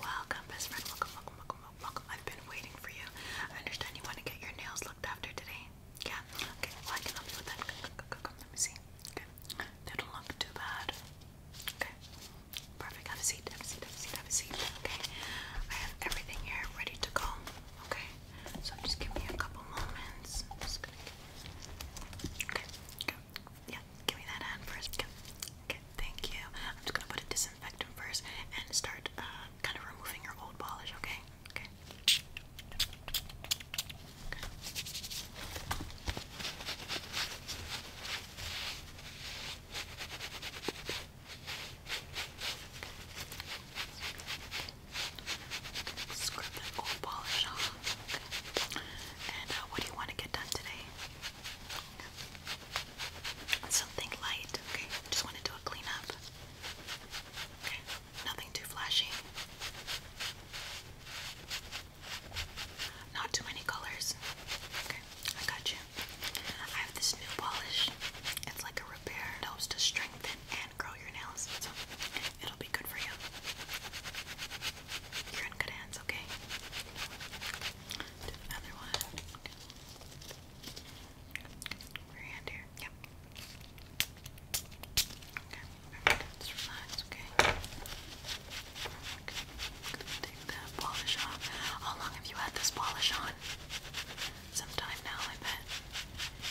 Welcome, best friend. Welcome, welcome, welcome, welcome. I've been waiting for you. I understand you want to get your nails looked after today. Yeah. Okay. Well, I can help you with that. Come, let me see. Okay. They don't look too bad. Okay. Perfect. Have a seat. Have a seat. Have a seat. Have a seat. Okay. I have everything here ready to go. Okay. So just give me a couple moments. just gonna. Yeah, give me that hand first. Okay, okay thank you. I'm just gonna put a disinfectant first and start uh, kind of removing your old polish, okay? Okay. Scrub that old polish off. And uh, what do you want to get done today? Something light, okay? just want to do a cleanup. Okay, nothing too flashy. Not too many colors. Okay, I got you. I have this new polish. It's like a repair. It helps to strengthen and grow your nails. So it'll be good for you. You're in good hands, okay? another one. Your hand here. Yep. Okay, relax, okay? Perfect. take the polish off. How long have you had this polish on? Some time now, I bet.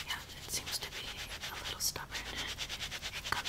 Yeah, it seems to be a little stubborn.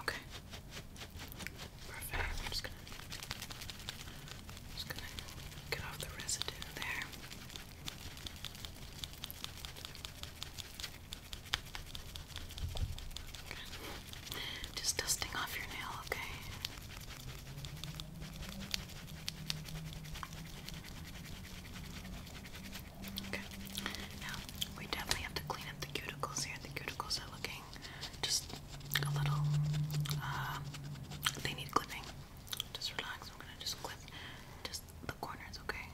Okay. Perfect. I'm just gonna just gonna get off the residue there. Just dusting off your nail, okay? Okay. Now, we definitely have to clean up the cuticles here. The cuticles are looking just a little, uh, they need clipping. Just relax. I'm gonna just clip just the corners, okay?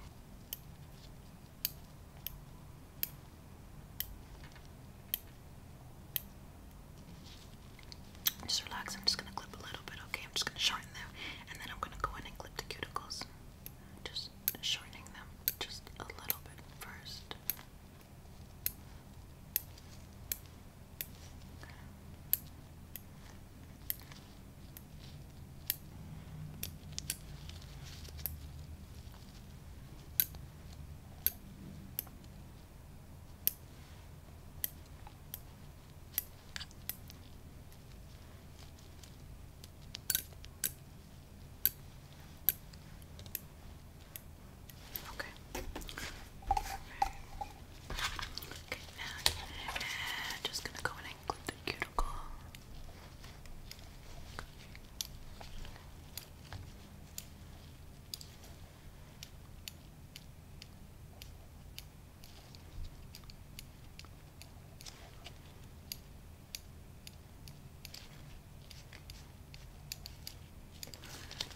Just relax. I'm just gonna clip a little bit, okay? I'm just gonna shorten them, and then I'm gonna go in and clip the cuticles. Just shortening them just a little bit first. Okay. All right. Okay, now just gonna go in with the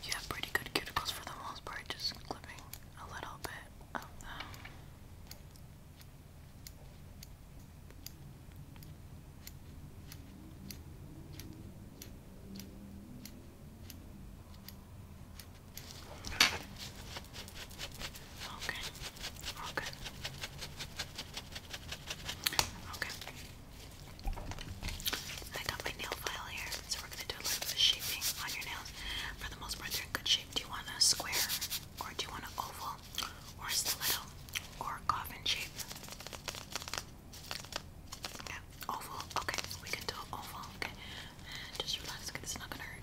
You have pretty good cuticles for the most part, just clipping a little bit Okay, okay, okay. I got my nail file here, so we're gonna do a little bit of shaping on your nails. For the most part, they're in good shape. Do you want a square or do you want an oval? or stiletto, or coffin shape. Yeah, oval. Okay, we can do oval. Okay, just relax. it's not gonna hurt.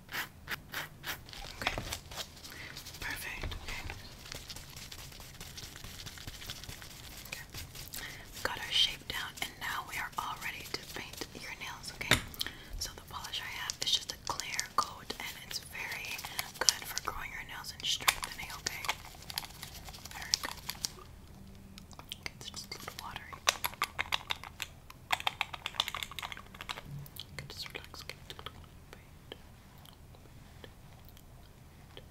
Okay. Perfect. Okay. Okay. got our shape down and now we are all ready to paint your nails, okay? So the polish I have is just a clear coat and it's very good for growing your nails and strengthening, okay? Very good. Okay, it's just a little watery. Can just relax. Can just relax. Wait. Wait. Good.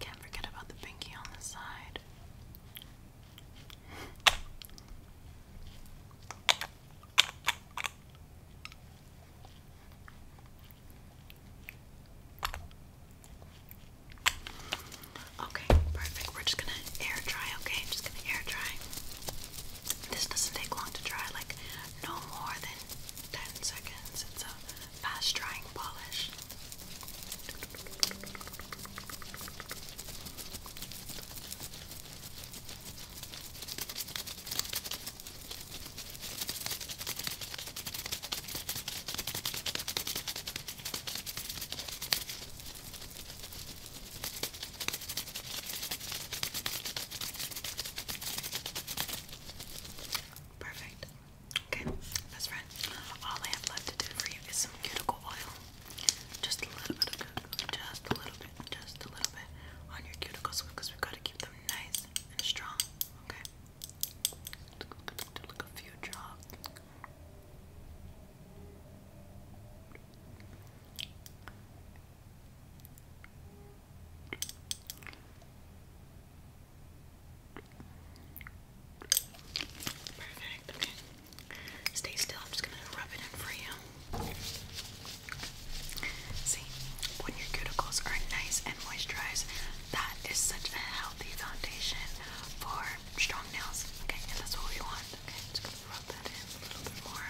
Can't forget about the pinky on the side. Okay, perfect. We're just gonna air dry, okay? just gonna air dry. This doesn't take long to dry, like no more than 10 seconds. It's a fast drying polish. Perfect. Okay, best friend, all I have left to do for you is some cuticle oil. Just a little bit of cocoa, just a little bit, just a little bit on your cuticles because we've got to keep them nice and strong, okay? Look a few drops. Perfect, okay. Stay still. I'm just gonna rub it in for you. See, when your cuticles are nice and moisturized, that is such a healthy foundation for strong nails. Okay, and that's what we want. Okay, I'm just rub that in a little bit more.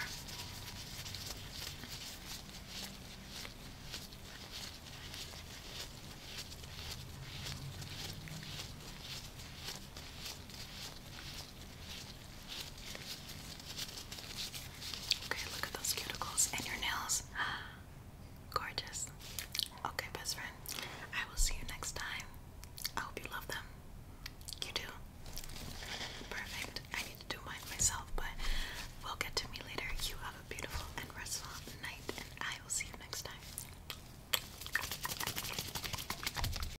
Okay, look at those cuticles and your nails. Gorgeous. Okay, best friend. I will see you next time. I hope you love them. You do? Perfect. I need to do mine myself, but we'll get to me later. You have a beautiful and restful night, and I will see you next time.